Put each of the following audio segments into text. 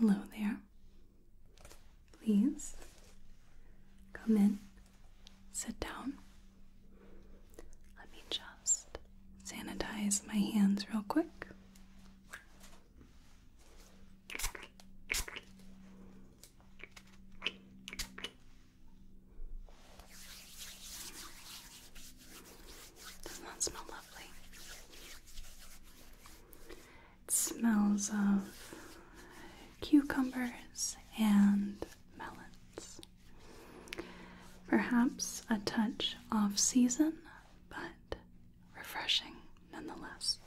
Hello there. Please come in. Sit down. Let me just sanitize my hands real quick. Doesn't that smell lovely? It smells of cucumbers and melons. Perhaps a touch off season, but refreshing nonetheless.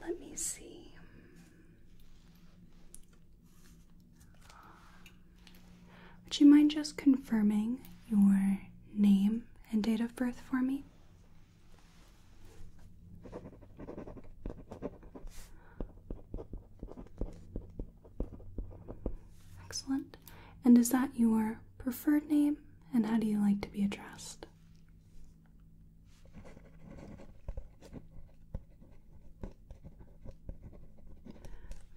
Let me see. Would you mind just confirming your name and date of birth for me? Excellent. And is that your preferred name? And how do you like to be addressed?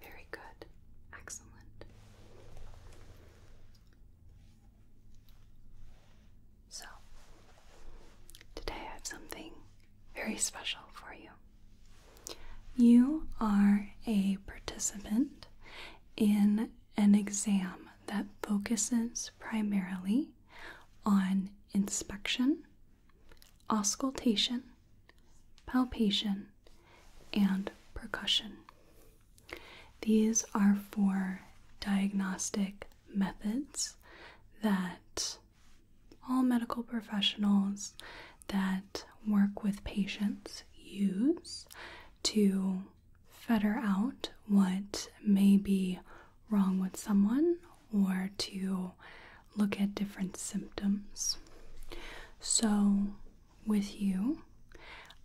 Very good. Excellent. So, today I have something very special for you. You are a participant in an exam that focuses primarily on inspection, auscultation, palpation, and percussion. These are for diagnostic methods that all medical professionals that work with patients use to fetter out what may be wrong with someone or to look at different symptoms. So, with you,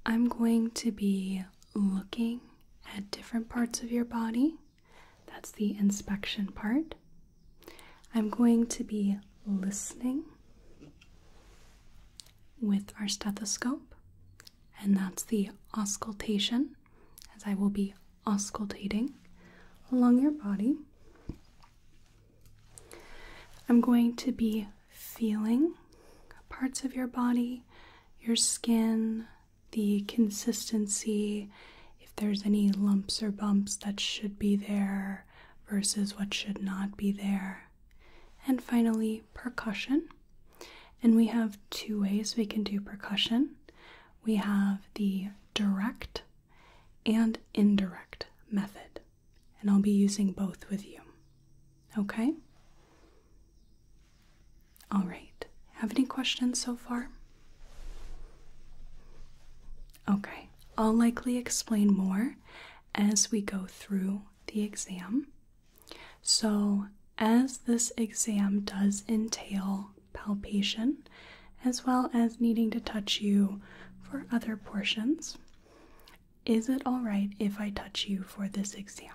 I'm going to be looking at different parts of your body. That's the inspection part. I'm going to be listening with our stethoscope, and that's the auscultation, as I will be auscultating along your body. I'm going to be feeling parts of your body, your skin, the consistency, if there's any lumps or bumps that should be there versus what should not be there. And finally, percussion. And we have two ways we can do percussion we have the direct and indirect method, and I'll be using both with you. Okay? All right. Have any questions so far? Okay. I'll likely explain more as we go through the exam. So, as this exam does entail palpation, as well as needing to touch you for other portions, is it alright if I touch you for this exam?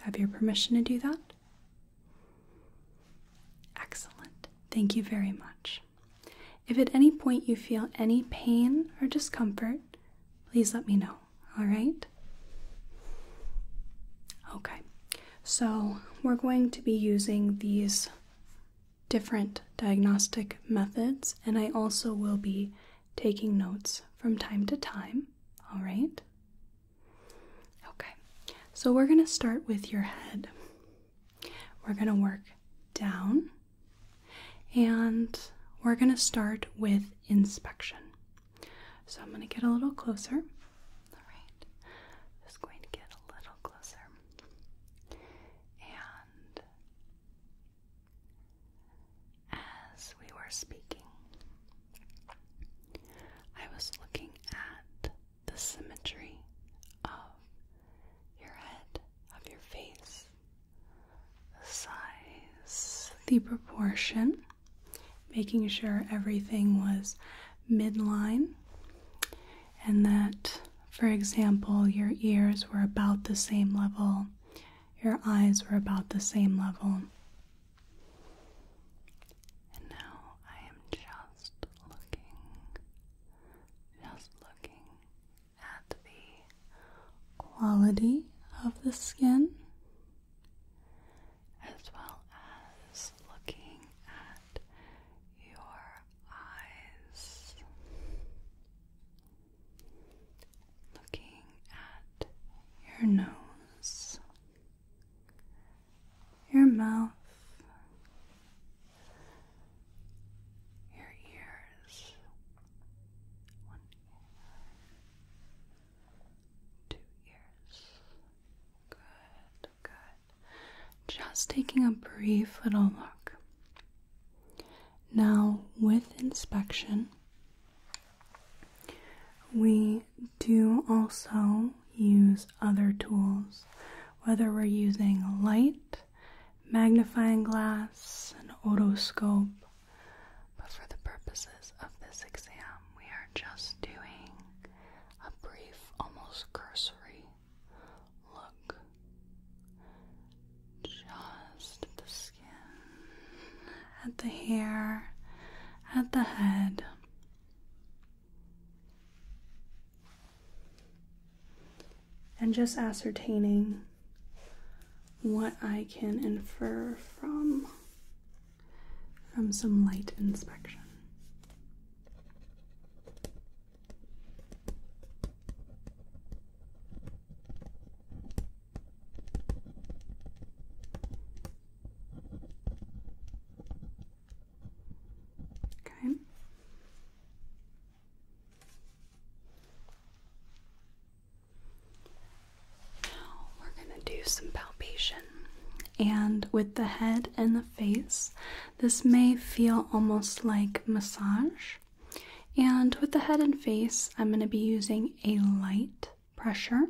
Have your permission to do that? Excellent. Thank you very much. If at any point you feel any pain or discomfort, please let me know. All right? Okay. So, we're going to be using these different diagnostic methods, and I also will be taking notes from time to time. All right? Okay, so we're going to start with your head. We're going to work down and we're going to start with inspection. So I'm going to get a little closer. All right, just going to get a little closer. And as we were speaking, I was looking at the symmetry of your head, of your face, the size, the proportion, making sure everything was midline, and that, for example, your ears were about the same level, your eyes were about the same level. And now I am just looking, just looking at the quality of the skin as well as looking at your eyes. Looking at your nose, your mouth, your ears. One ear, two ears. Good, good. Just taking a brief little look. Now, with inspection, we do also use other tools, whether we're using light, magnifying glass, an otoscope, but for the purposes of this exam, we are just doing a brief, almost cursory look just at the skin at the hair, at the head. And just ascertaining what I can infer from from some light inspection. Okay. Now we're going to do some palpation. And with the head and the face, this may feel almost like massage. And with the head and face, I'm going to be using a light pressure,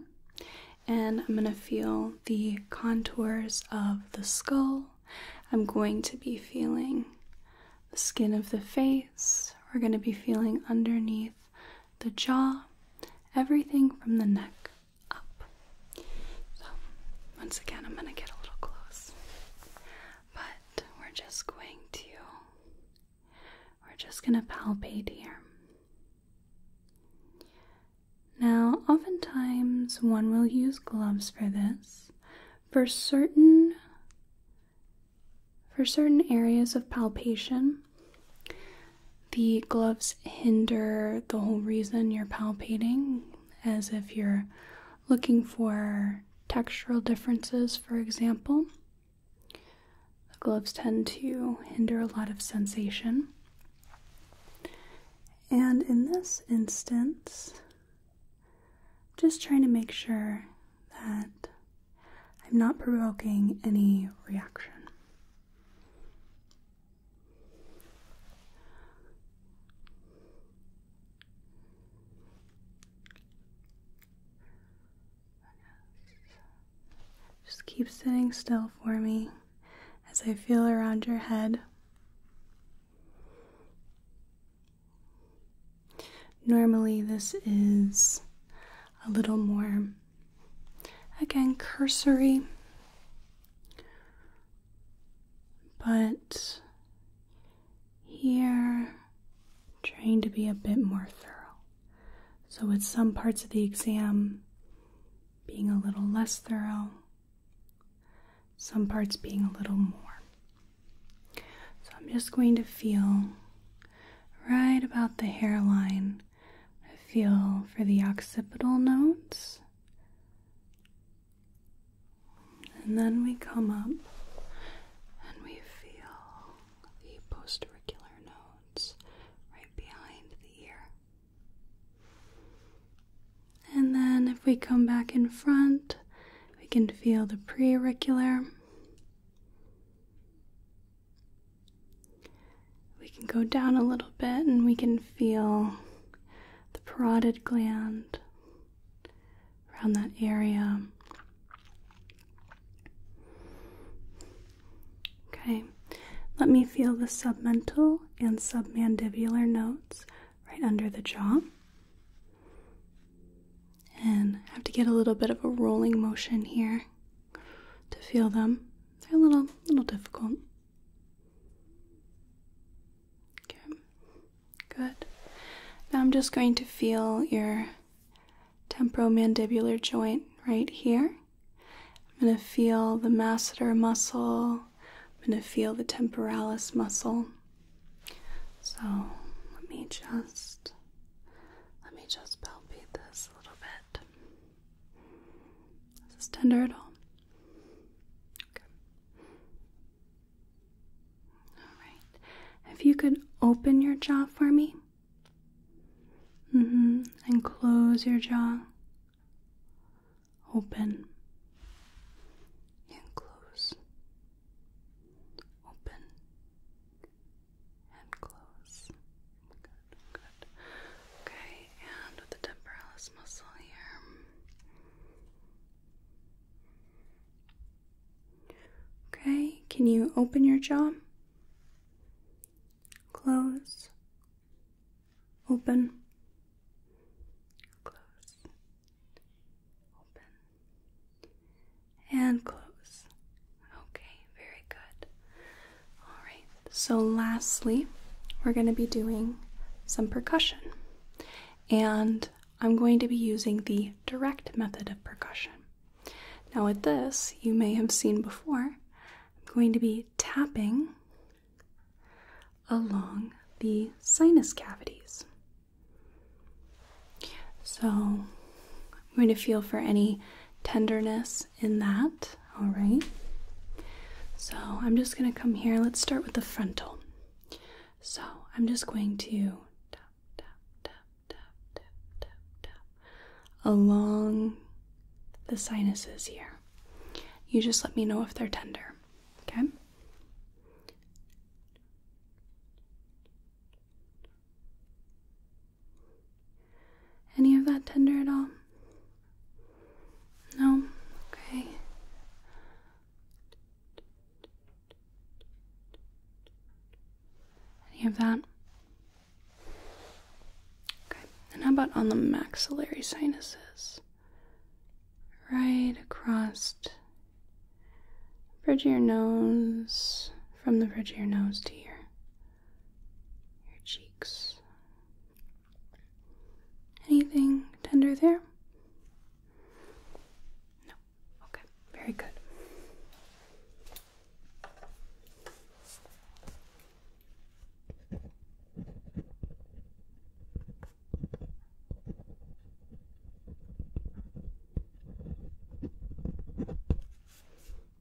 and I'm going to feel the contours of the skull. I'm going to be feeling the skin of the face. We're going to be feeling underneath the jaw, everything from the neck up. So, once again, I'm going to get a little close, but we're just going to we're just going to palpate here. Now, oftentimes one will use gloves for this. For certain for certain areas of palpation, the gloves hinder the whole reason you're palpating, as if you're looking for textural differences, for example. The gloves tend to hinder a lot of sensation. And in this instance, just trying to make sure that I'm not provoking any reaction. Just keep sitting still for me as I feel around your head. Normally, this is a little more, again, cursory, but here, trying to be a bit more thorough. So, with some parts of the exam being a little less thorough, some parts being a little more. So, I'm just going to feel right about the hairline. I feel for the occipital nodes, And then we come up and we feel the posterior node right behind the ear. And then if we come back in front, we can feel the preauricular. We can go down a little bit and we can feel the parotid gland around that area. Okay, let me feel the submental and submandibular nodes right under the jaw. And I have to get a little bit of a rolling motion here to feel them. They're a little little difficult. Okay. Good. Now I'm just going to feel your temporomandibular joint right here. I'm going to feel the masseter muscle. I'm going to feel the temporalis muscle. So let me just let me just palpate this a little bit. Is this tender at all? Okay. All right. If you could open your jaw for me hmm. And close your jaw. Open. And close. Open. And close. Good, good. Okay, and with the temporalis muscle here. Okay, can you open your jaw? close, open, close, open, and close. Okay, very good. All right, so lastly, we're going to be doing some percussion, and I'm going to be using the direct method of percussion. Now, with this, you may have seen before I'm going to be tapping along the sinus cavities. So I'm going to feel for any tenderness in that, all right? So I'm just going to come here. Let's start with the frontal. So I'm just going to tap, tap, tap, along the sinuses here. You just let me know if they're tender, okay? Any of that tender at all? No? Okay. Any of that? Okay, and how about on the maxillary sinuses? Right across bridge of your nose, from the bridge of your nose to your, your cheeks. Anything tender there? No. Okay, very good.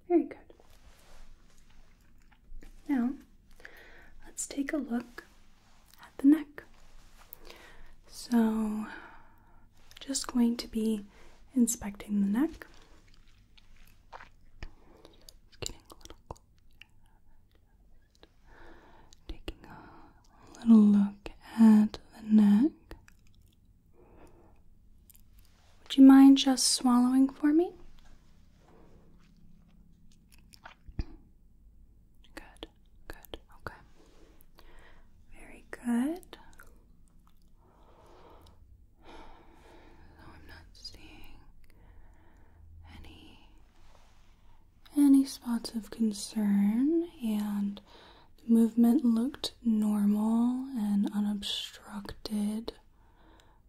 Very good. Now, let's take a look at the neck. So, just going to be inspecting the neck. Taking a little look at the neck. Would you mind just swallowing for me? Good, good, okay. Very good. Though I'm not seeing any any spots of concern and the movement looked normal and unobstructed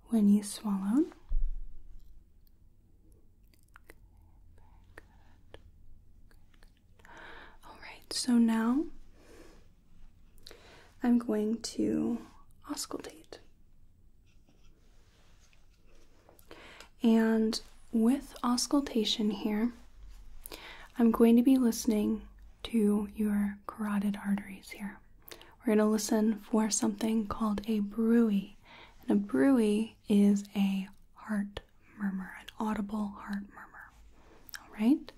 when you swallowed. All right, so now I'm going to auscultate. And with auscultation here, I'm going to be listening to your carotid arteries here. We're going to listen for something called a bruit, And a bruit is a heart murmur, an audible heart murmur. All right?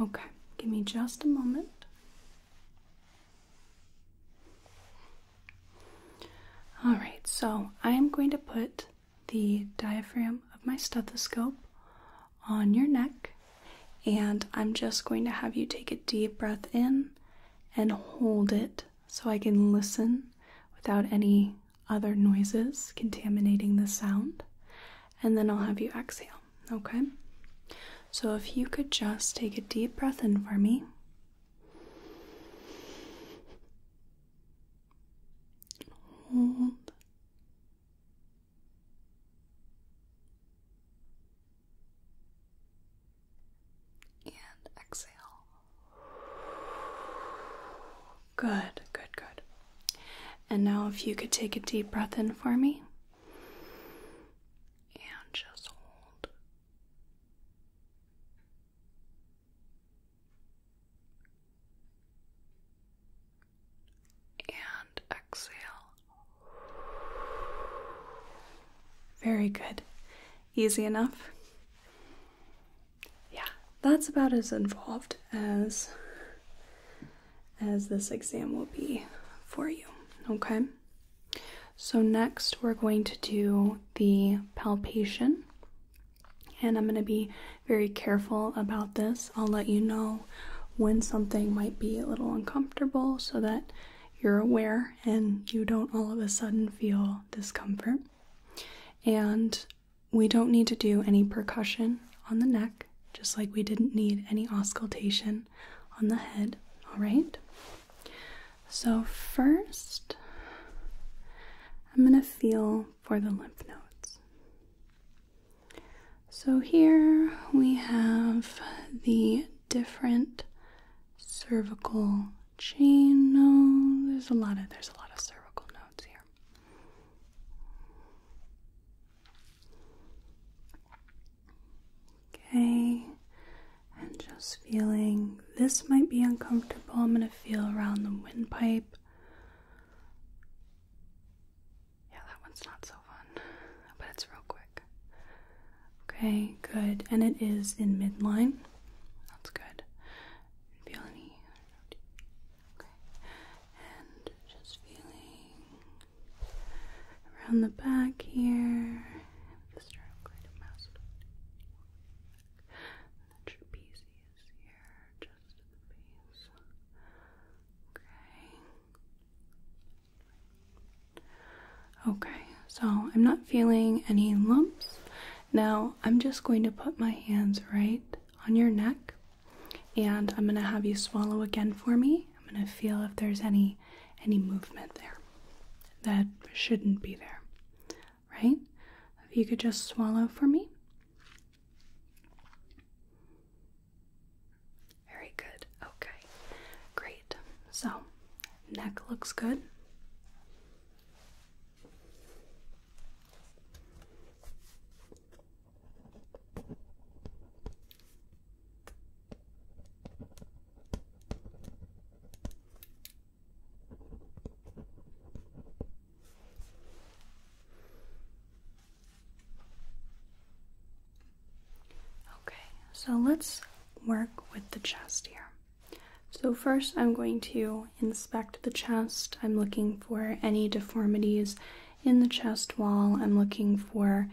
Okay, give me just a moment. All right, so I am going to put the diaphragm of my stethoscope on your neck, and I'm just going to have you take a deep breath in and hold it so I can listen without any other noises contaminating the sound and then I'll have you exhale, okay? So if you could just take a deep breath in for me. Hold. And exhale. Good, good, good. And now, if you could take a deep breath in for me and just hold. And exhale. Very good. Easy enough? Yeah, that's about as involved as as this exam will be for you. Okay? So, next we're going to do the palpation, and I'm going to be very careful about this. I'll let you know when something might be a little uncomfortable so that you're aware and you don't all of a sudden feel discomfort. And we don't need to do any percussion on the neck just like we didn't need any auscultation on the head, all right? So, first, I'm going to feel for the lymph nodes. So, here we have the different cervical chain nodes. There's a lot of there's a lot of cervical nodes here. Okay, and just feeling this might be uncomfortable. I'm going to feel around the windpipe. Yeah, that one's not so fun, but it's real quick. Okay, good. And it is in midline. That's good. Feel any. Okay, and just feeling around the back here. Okay. Okay, so I'm not feeling any lumps. Now I'm just going to put my hands right on your neck and I'm gonna have you swallow again for me. I'm gonna feel if there's any any movement there that shouldn't be there. Right? If you could just swallow for me. Very good. Okay. Great. So, neck looks good. Okay, so let's work with the chest here. So, first, I'm going to inspect the chest. I'm looking for any deformities, in the chest wall. I'm looking for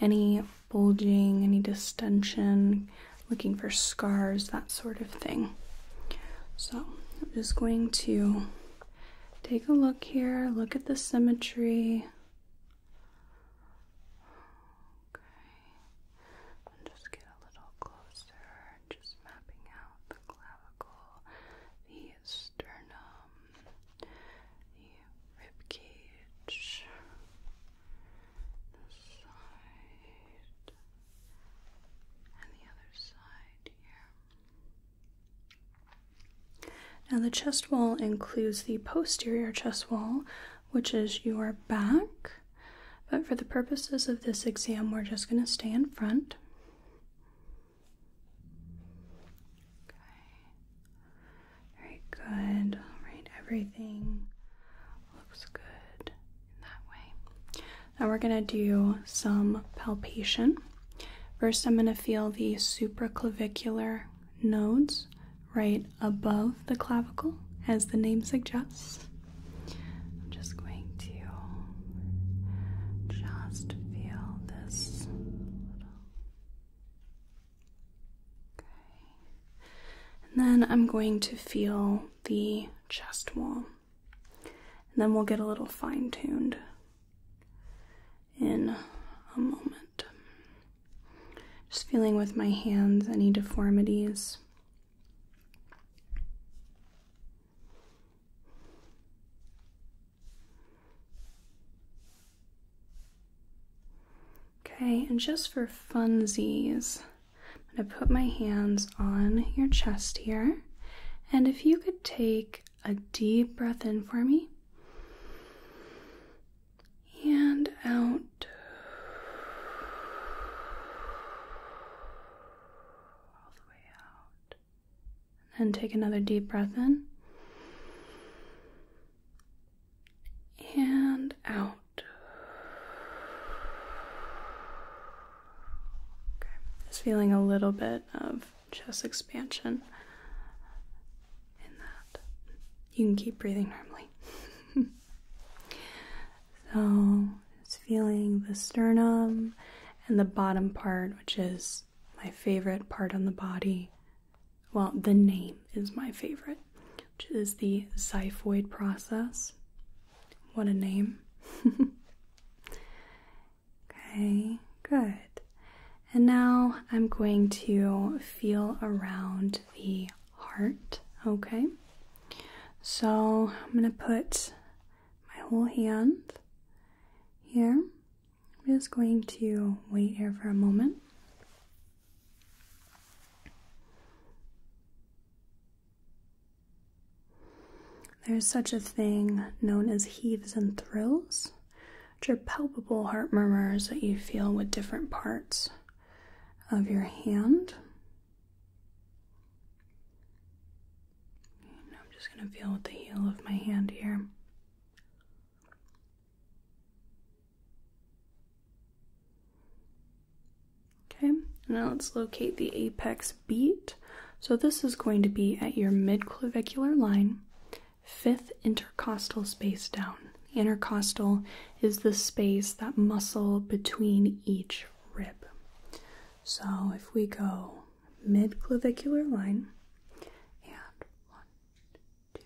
any bulging, any distension, looking for scars, that sort of thing. So I'm just going to take a look here, look at the symmetry. Okay, and just get a little closer, just mapping out the clavicle, sternum, rib cage, the side, and the other side here. Now, the chest wall includes the posterior chest wall, which is your back. But for the purposes of this exam, we're just going to stay in front. Okay. Very good. All right, everything looks good that way. Now we're going to do some palpation. First, I'm going to feel the supraclavicular nodes right above the clavicle, as the name suggests. I'm just going to just feel this little and then I'm going to feel the chest wall. And then we'll get a little fine tuned in a moment. Just feeling with my hands any deformities. Okay, and just for funsies, I'm going to put my hands on your chest here. And if you could take a deep breath in for me and out. All the way out. And then take another deep breath in and out. Okay, just feeling a little bit of chest expansion in that. You can keep breathing normally. so, it's feeling the sternum and the bottom part, which is my favorite part on the body. Well, the name is my favorite, which is the xiphoid process. What a name. okay, good. And now I'm going to feel around the heart, okay? So I'm going to put my whole hand here I'm just going to wait here for a moment. There's such a thing known as heaves and thrills, which are palpable heart murmurs that you feel with different parts of your hand. I'm just going to feel with the heel of my hand here. Okay, now let's locate the apex beat. So this is going to be at your midclavicular line, fifth intercostal space down. Intercostal is the space, that muscle between each rib. So if we go mid-clavicular line. And one, two,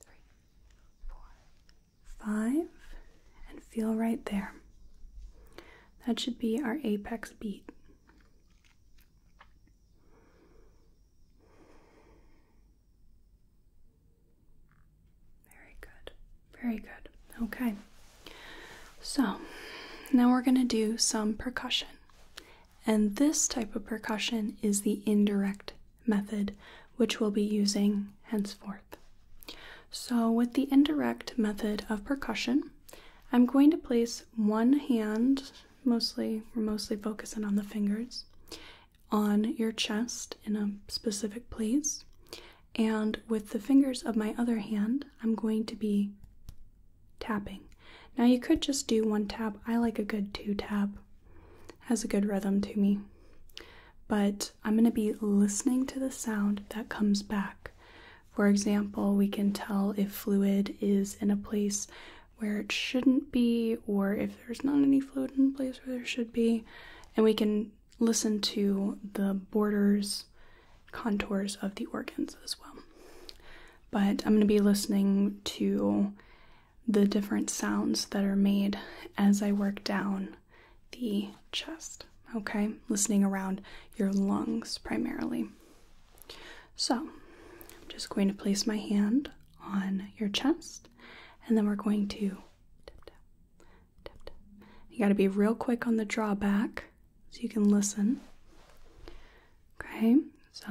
three, four, five, and feel right there. That should be our apex beat. Very good. Very good. Okay. So, now we're going to do some percussion. And this type of percussion is the indirect method, which we'll be using henceforth. So, with the indirect method of percussion, I'm going to place one hand, mostly, we're mostly focusing on the fingers, on your chest in a specific place. And with the fingers of my other hand, I'm going to be tapping. Now you could just do one tap. I like a good two tap. Has a good rhythm to me. But I'm going to be listening to the sound that comes back. For example, we can tell if fluid is in a place where it shouldn't be, or if there's not any fluid in a place where there should be. And we can listen to the borders, contours of the organs as well but I'm going to be listening to the different sounds that are made as I work down the chest, okay? Listening around your lungs primarily. So, I'm just going to place my hand on your chest and then we're going to You got to be real quick on the drawback so you can listen. Okay? So,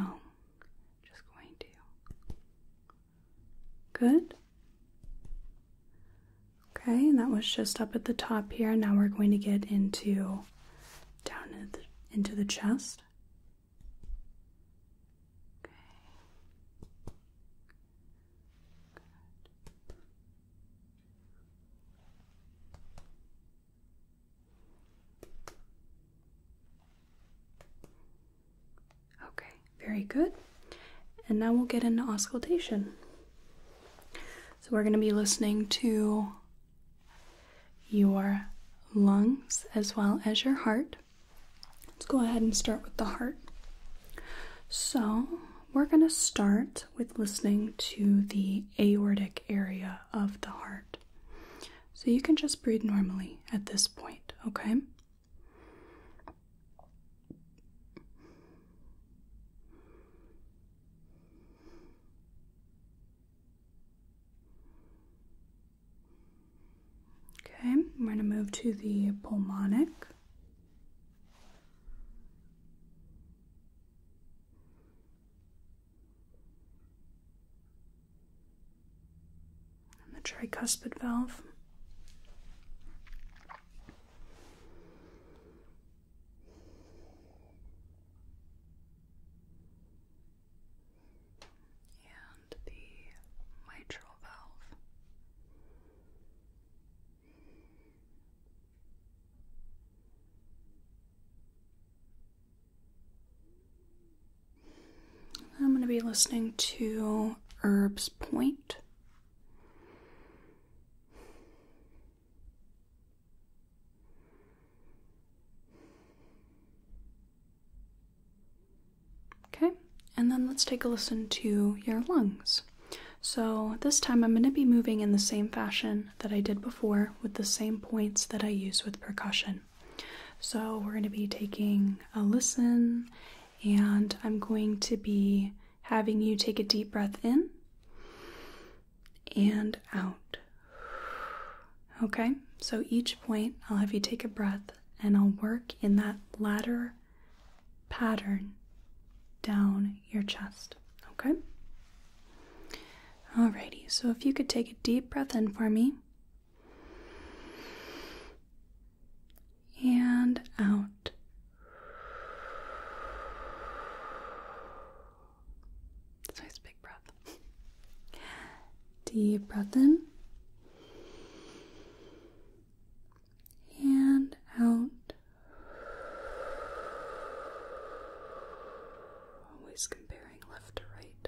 just going to. Good. Okay, and that was just up at the top here. Now we're going to get into down into the chest. Okay. Okay, very good. And now we'll get into auscultation. So we're going to be listening to your lungs as well as your heart. Let's go ahead and start with the heart. So we're going to start with listening to the aortic area of the heart. So you can just breathe normally at this point, okay? Okay, we're going to move to the pulmonic and the tricuspid valve. And the mitral valve. I'm going to be listening to Herbs Point. Okay, and then let's take a listen to your lungs. So, this time I'm going to be moving in the same fashion that I did before with the same points that I use with percussion. So, we're going to be taking a listen, and I'm going to be having you take a deep breath in and out. Okay, so each point I'll have you take a breath and I'll work in that ladder pattern down your chest. Okay, Alrighty, so if you could take a deep breath in for me and out. nice big breath. Deep breath in and out. Always comparing left to right.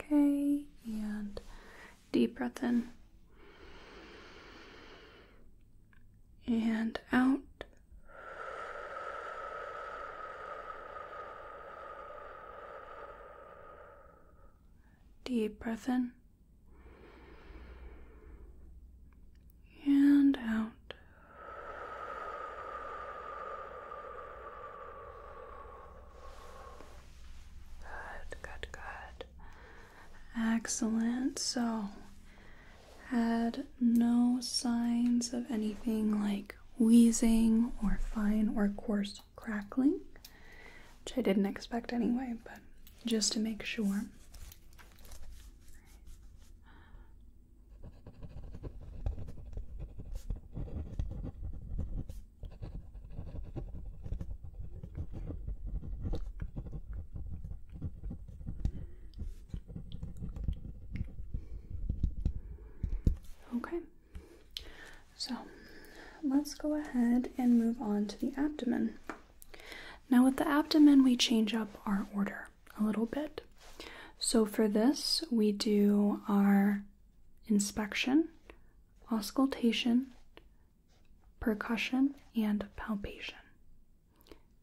Okay, and deep breath in and out. Deep breath in and out. Good, good, good. Excellent. So, had no signs of anything like wheezing or fine or coarse crackling, which I didn't expect anyway, but just to make sure. Okay, so let's go ahead and move on to the abdomen. Now, with the abdomen, we change up our order a little bit. So, for this, we do our inspection, auscultation, percussion, and palpation.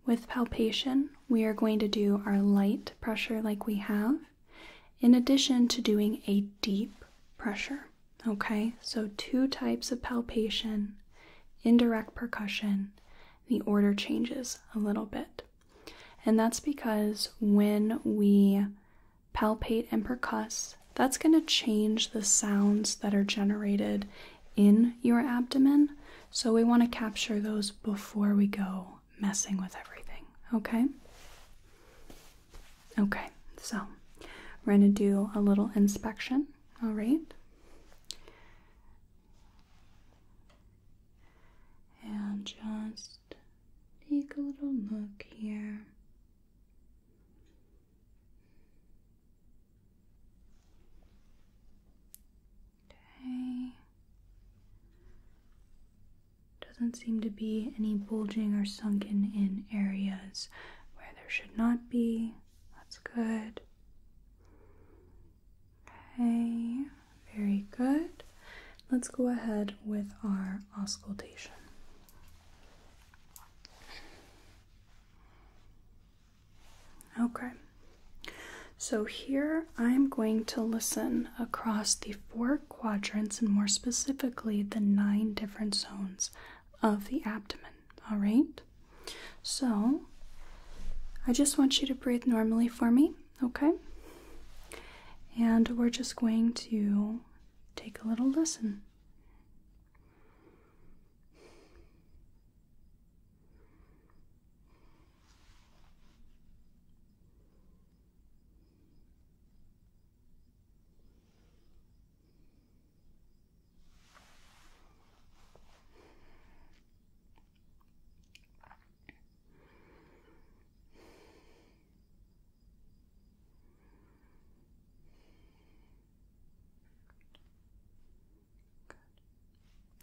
With palpation, we are going to do our light pressure like we have, in addition to doing a deep pressure. Okay, so two types of palpation, indirect percussion, the order changes a little bit. And that's because when we palpate, and percuss, that's going to change the sounds that are generated in your abdomen. So we want to capture those before we go messing with everything, okay? Okay, so we're going to do a little inspection, all right? And just take a little look here. Okay. Doesn't seem to be any bulging or sunken in areas where there should not be. That's good. Okay, very good. Let's go ahead with our auscultation. Okay, so here I'm going to listen across the four quadrants and more specifically the nine different zones of the abdomen. All right, so I just want you to breathe normally for me, okay? And we're just going to take a little lesson.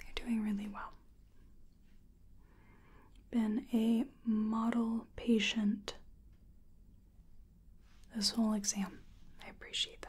You're doing really well. Been a model patient this whole exam. I appreciate that.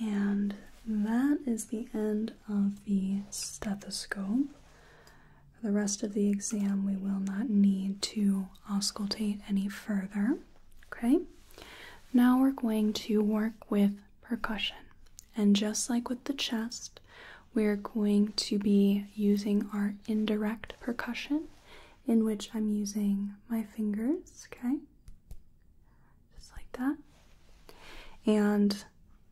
And that is the end of the stethoscope. For the rest of the exam, we will not need to auscultate any further. Okay? Now we're going to work with percussion. And just like with the chest, we're going to be using our indirect percussion, in which I'm using my fingers, okay? just like that. And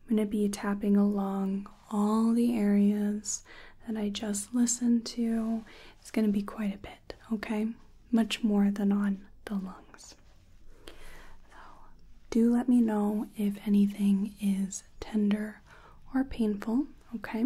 I'm going to be tapping along all the areas that I just listened to. It's going to be quite a bit, okay? Much more than on the lungs. So, do let me know if anything is tender or painful, okay?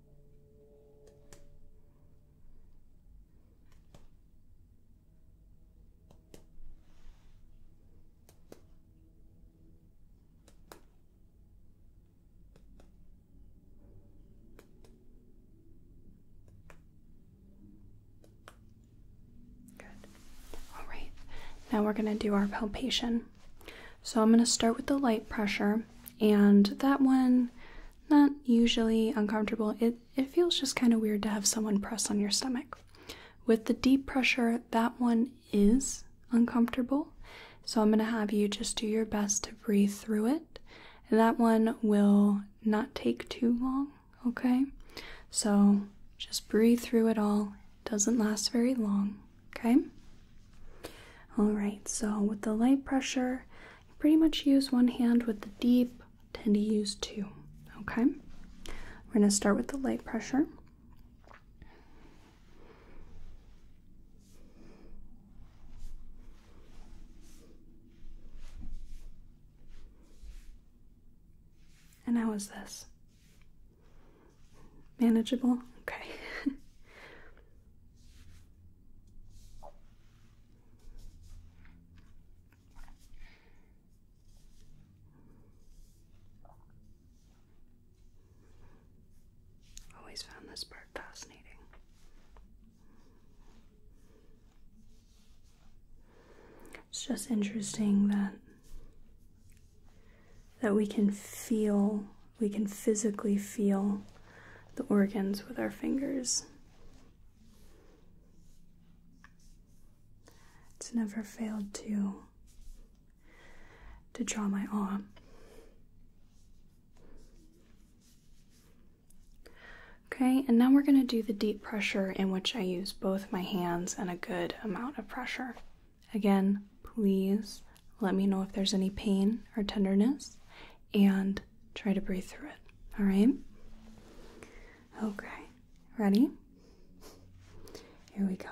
Good. All right. Now we're going to do our palpation. So I'm going to start with the light pressure, and that one, not usually uncomfortable. It it feels just kind of weird to have someone press on your stomach. With the deep pressure, that one is uncomfortable. So I'm going to have you just do your best to breathe through it. And that one will not take too long, okay? So just breathe through it all. doesn't last very long. Okay? Alright, so with the light pressure, you pretty much use one hand with the deep, tend to use two. Okay? We're going to start with the light pressure. And how is this? Manageable? Okay. Always found this part fascinating. It's just interesting that that we can feel we can physically feel the organs with our fingers. It's never failed to to draw my awe. Okay, and now we're going to do the deep pressure in which I use both my hands and a good amount of pressure. Again, please let me know if there's any pain or tenderness and try to breathe through it. All right? Okay. Ready? Here we go.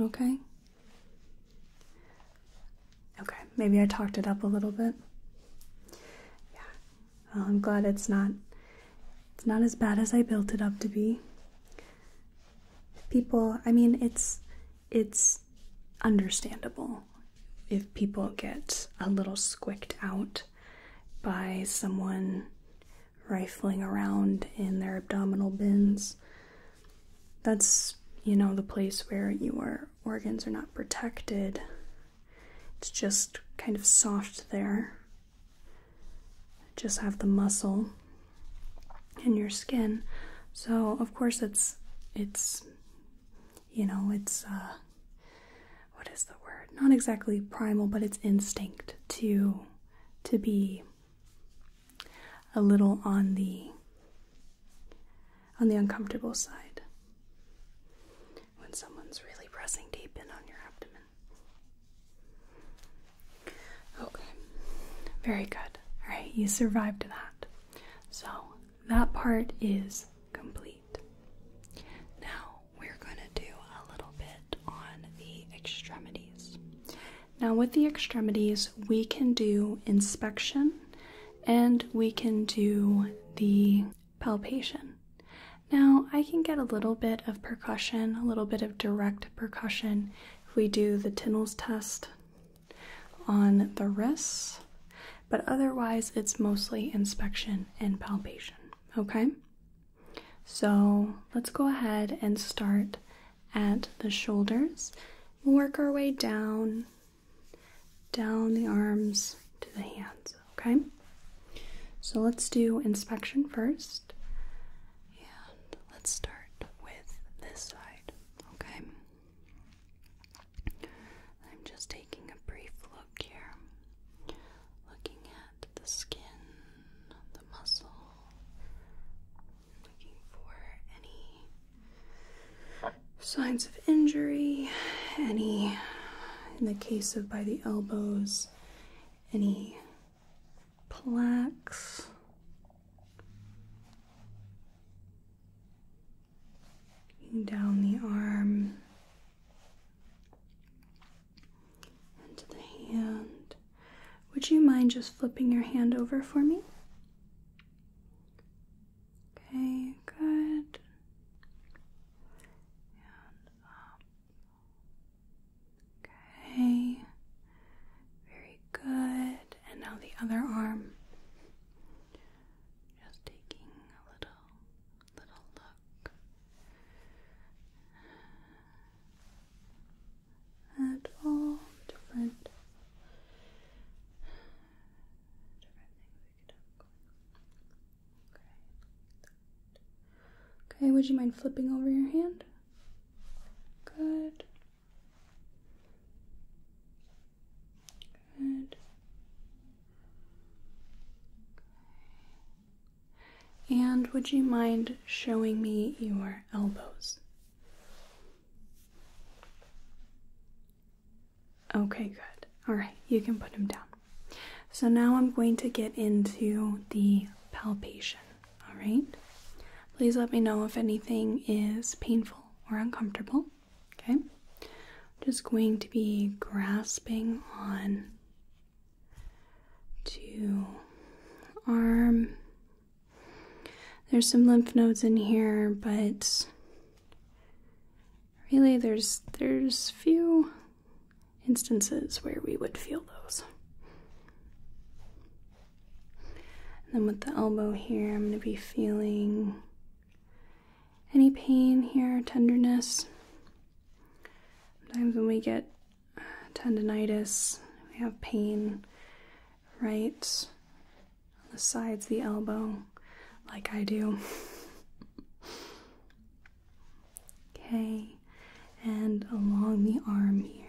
okay? Okay, maybe I talked it up a little bit. Yeah. Well, I'm glad it's not it's not as bad as I built it up to be. People, I mean, it's it's understandable if people get a little squicked out by someone rifling around in their abdominal bins. That's, you know, the place where your organs are not protected. It's just kind of soft there just have the muscle in your skin. So of course it's it's you know it's uh, what is the word? Not exactly primal, but it's instinct to to be a little on the on the uncomfortable side when someone's really pressing deep in on your abdomen. Okay, very good. All right, you survived that. So that part is complete. Now we're going to do a little bit on the extremities. Now, with the extremities, we can do inspection and we can do the palpation. Now, I can get a little bit of percussion, a little bit of direct percussion if we do the Tinnels test on the wrists, but otherwise it's mostly inspection and palpation, okay? So let's go ahead and start at the shoulders. work our way down, down the arms to the hands, okay? So let's do inspection first. And let's start with this side, okay? I'm just taking a brief look here, looking at the skin, the muscle, looking for any signs of injury, any, in the case of by the elbows, any plaques. Down the arm and the hand. Would you mind just flipping your hand over for me? Okay, good. Okay. Very good. And now the other arm. Just taking a little little look at all different different things we could have Okay. Okay, would you mind flipping over your hand? Good. Good. And would you mind showing me your elbows? Okay, good. All right, you can put him down. So now I'm going to get into the palpation, all right? Please let me know if anything is painful or uncomfortable, okay? just going to be grasping on to arm. There's some lymph nodes in here, but really there's there's few instances where we would feel those. And then with the elbow here, I'm going to be feeling any pain here, tenderness. Sometimes when we get uh, tendonitis, we have pain right on the sides the elbow, like I do. Okay, and along the arm here.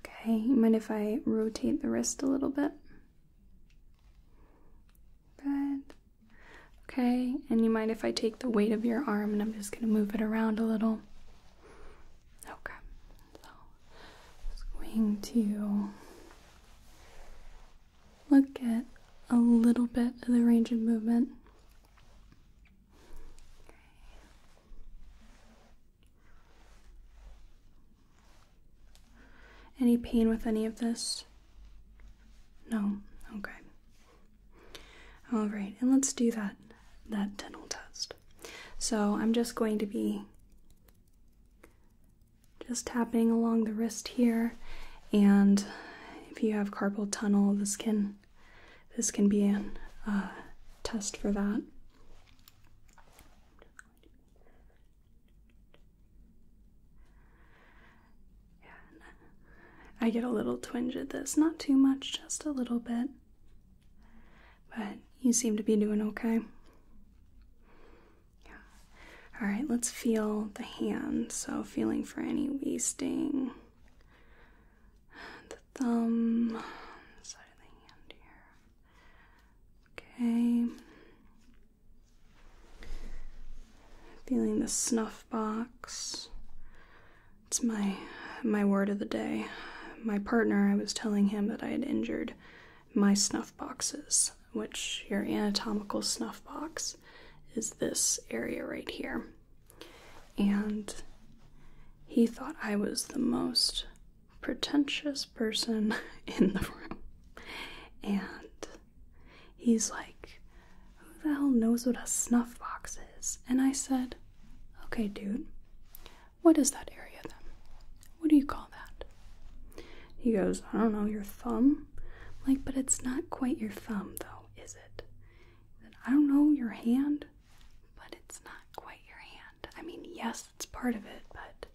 Okay, you mind if I rotate the wrist a little bit? Good. Okay, and you mind if I take the weight of your arm and I'm just going to move it around a little? Okay, so i to look at a little bit of the range of movement. Any pain with any of this? No. Okay. All right, and let's do that that dental test. So I'm just going to be just tapping along the wrist here, and if you have carpal tunnel, this can this can be a uh, test for that. I get a little twinge at this, not too much, just a little bit. But you seem to be doing okay. Yeah. All right, let's feel the hand. So, feeling for any wasting. The thumb, side of the hand here. Okay. Feeling the snuff box. It's my my word of the day. My partner, I was telling him that I had injured my snuff boxes, which your anatomical snuff box is this area right here. And he thought I was the most pretentious person in the room. And he's like, Who the hell knows what a snuff box is? And I said, Okay, dude, what is that area then? What do you call that? He goes, I don't know, your thumb? like, but it's not quite your thumb, though, is it? I don't know, your hand? But it's not quite your hand. I mean, yes, it's part of it, but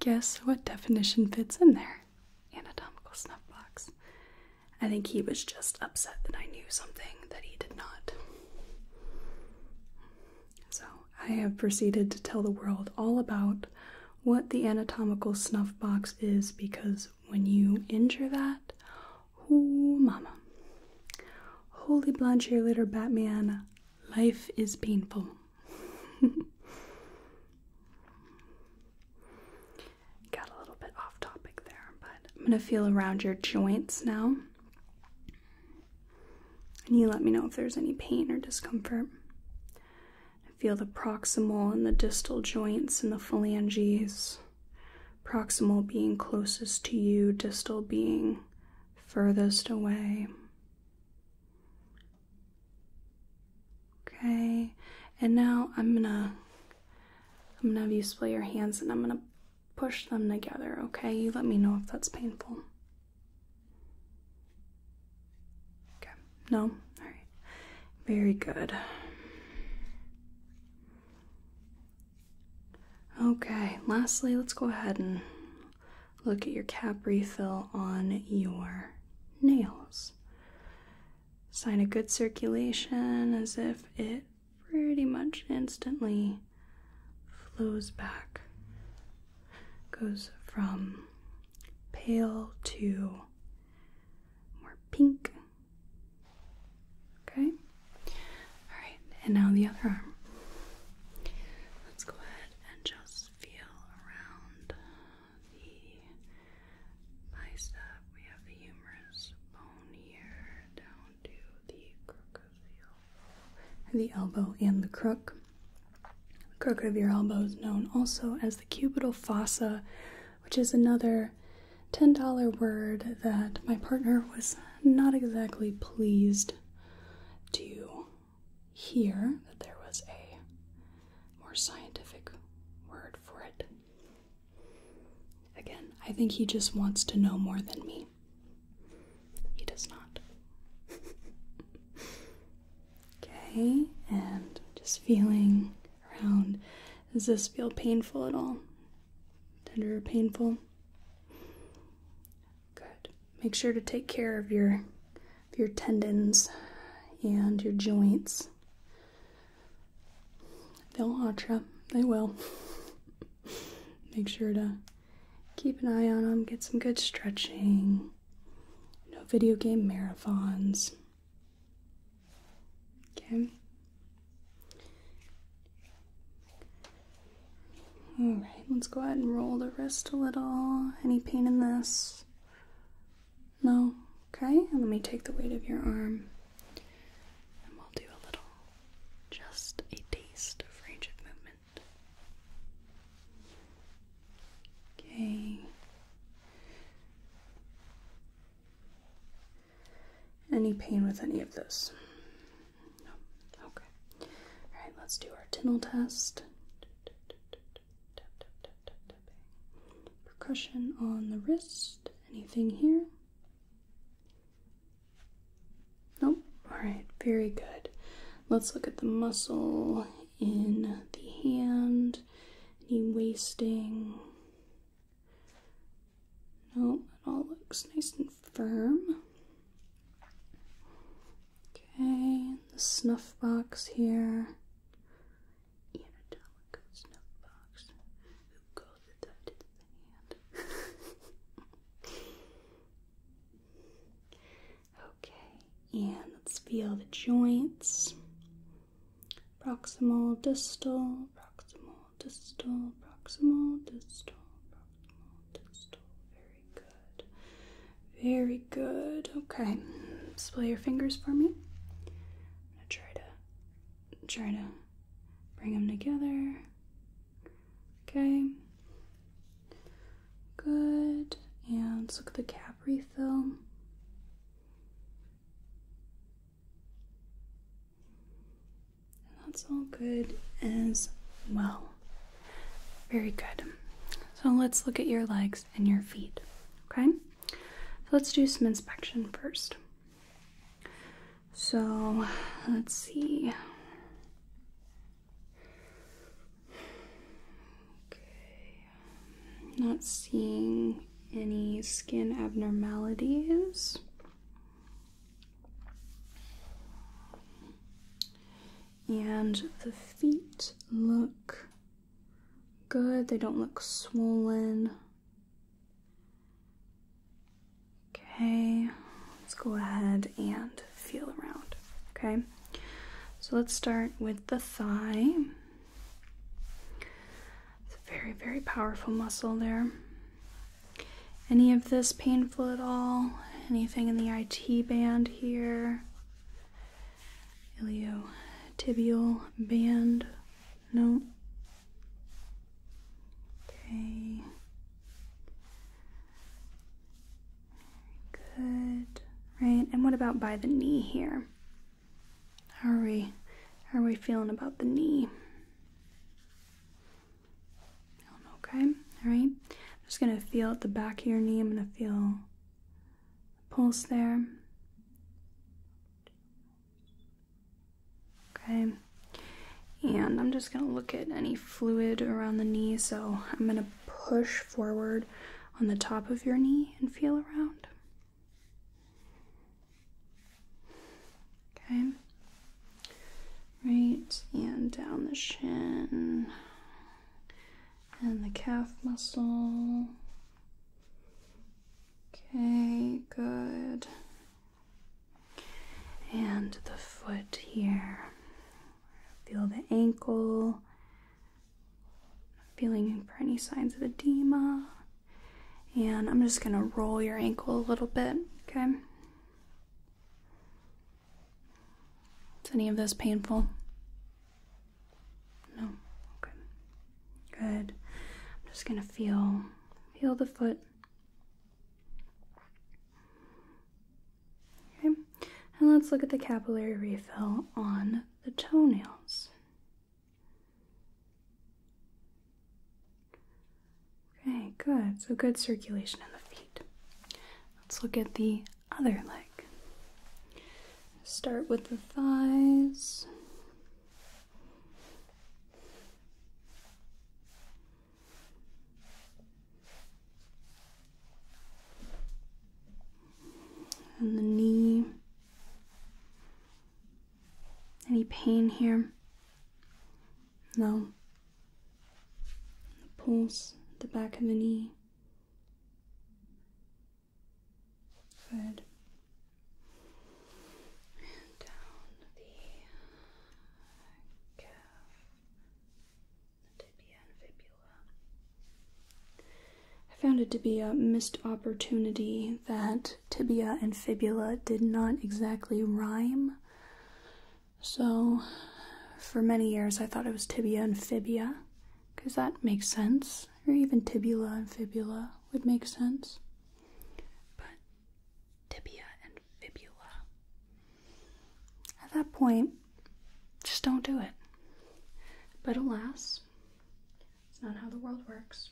guess what definition fits in there? Anatomical snuffbox. I think he was just upset that I knew something that he did not. So I have proceeded to tell the world all about what the anatomical snuff box is because when you injure that, ooh, mama. Holy blonde cheerleader Batman, life is painful. Got a little bit off topic there, but I'm gonna feel around your joints now. And you let me know if there's any pain or discomfort feel the proximal and the distal joints and the phalanges. Proximal being closest to you, distal being furthest away. Okay, and now I'm gonna I'm gonna have you split your hands and I'm gonna push them together, okay? You let me know if that's painful. Okay. No? All right. Very good. Okay, lastly, let's go ahead and look at your cap refill on your nails. Sign of good circulation as if it pretty much instantly flows back goes from pale to more pink. Okay? Alright, and now the other arm. Let's go ahead and just feel around the bicep. We have the humerus bone here down to the crook of the elbow. The elbow and the crook. Crook of your elbow is known also as the cubital fossa, which is another $10 word that my partner was not exactly pleased to hear that there was a more scientific word for it. Again, I think he just wants to know more than me. He does not. Okay, and just feeling around. Does this feel painful at all? Tender or painful? Good. Make sure to take care of your your tendons and your joints. They'll ultra. They will. Make sure to keep an eye on them. Get some good stretching. No video game marathons. Okay. Alright, let's go ahead and roll the wrist a little. Any pain in this? No? Okay, let me take the weight of your arm. And we'll do a little, just a taste of range of movement. Okay. Any pain with any of this? No. Okay. All right, let's do our tingle test. Percussion on the wrist. Anything here? Nope. All right, very good. Let's look at the muscle in the hand, any wasting. No, it all looks nice and firm. Okay, the snuff box here. Okay, and let's feel the joints proximal, distal, proximal, distal, proximal, distal, proximal, distal. Very good. Very good. Okay, display your fingers for me. I'm gonna try to try to bring them together. Okay. Good. And let's look at the cap refill. that's all good as well. Very good. So let's look at your legs and your feet. Okay? let's do some inspection first. So let's see. Um, not seeing any skin abnormalities. And the feet look good, they don't look swollen. Okay, let's go ahead and feel around. Okay, so let's start with the thigh. It's a very, very powerful muscle there. Any of this painful at all? Anything in the IT band here? Ilio-tibial band? No. Okay. Good. Right. And what about by the knee here? How are we how are we feeling about the knee? Okay. All right. I'm just going to feel at the back of your knee. I'm going to feel pulse there. Okay. And I'm just going to look at any fluid around the knee. So I'm going to push forward on the top of your knee and feel around. Okay. Right, and down the shin and the calf muscle. Okay, good. And the foot here. Feel the ankle I'm feeling for any signs of edema. And I'm just gonna roll your ankle a little bit, okay? Is any of this painful? No. Okay. Good. I'm just gonna feel feel the foot. Okay, and let's look at the capillary refill on the toenails. Okay, good. So good circulation in the feet. Let's look at the other leg. Start with the thighs and the knee. Any pain here? No. The pulse, the back of the knee. Good. And down the calf. I found it to be a missed opportunity that tibia and fibula did not exactly rhyme. So, for many years, I thought it was tibia and fibia, because that makes sense, or even tibula and fibula would make sense. But tibia and fibula. At that point, just don't do it. But alas, it's not how the world works.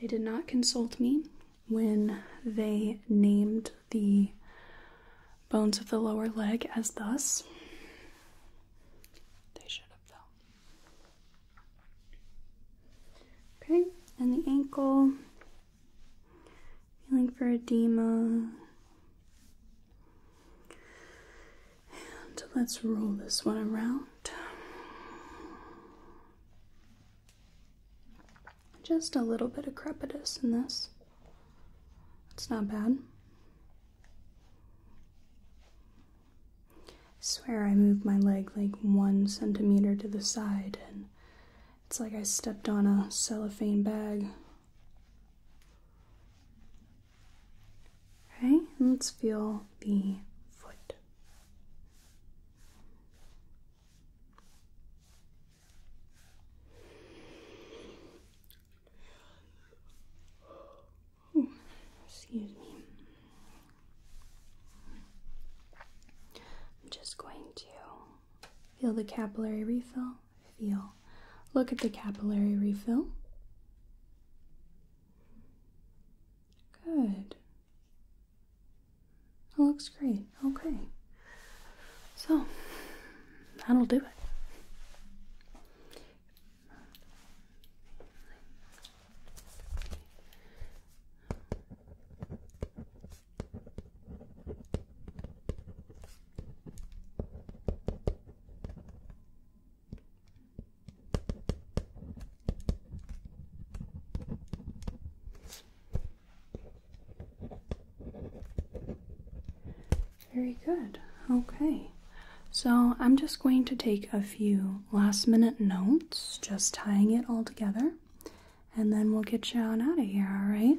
They did not consult me when they named the bones of the lower leg as thus. They should have though. Okay, and the ankle. Feeling for edema. And let's roll this one around. Just a little bit of crepitus in this. It's not bad. swear I moved my leg like one centimeter to the side, and it's like I stepped on a cellophane bag Okay, let's feel the foot. excuse me. I'm just going to feel the capillary refill feel. Look at the capillary refill. Good. It looks great. Okay. So, that'll do it. Very good. Okay. So I'm just going to take a few last minute notes, just tying it all together, and then we'll get you out of here, alright?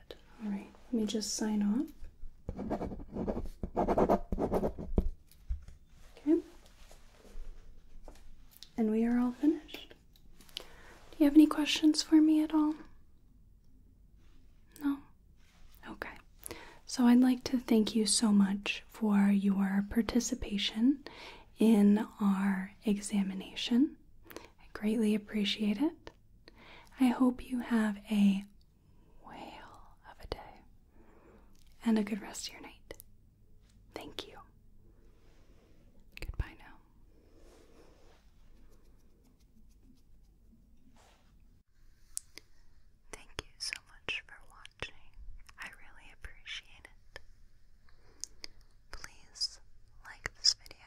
All right. Let me just sign off. Okay. And we are all finished. Do you have any questions for me at all? No? Okay. So I'd like to thank you so much for your participation in our examination. I greatly appreciate it. I hope you have a whale of a day and a good rest of your night. Thank you. Goodbye now. Thank you so much for watching. I really appreciate it. Please like this video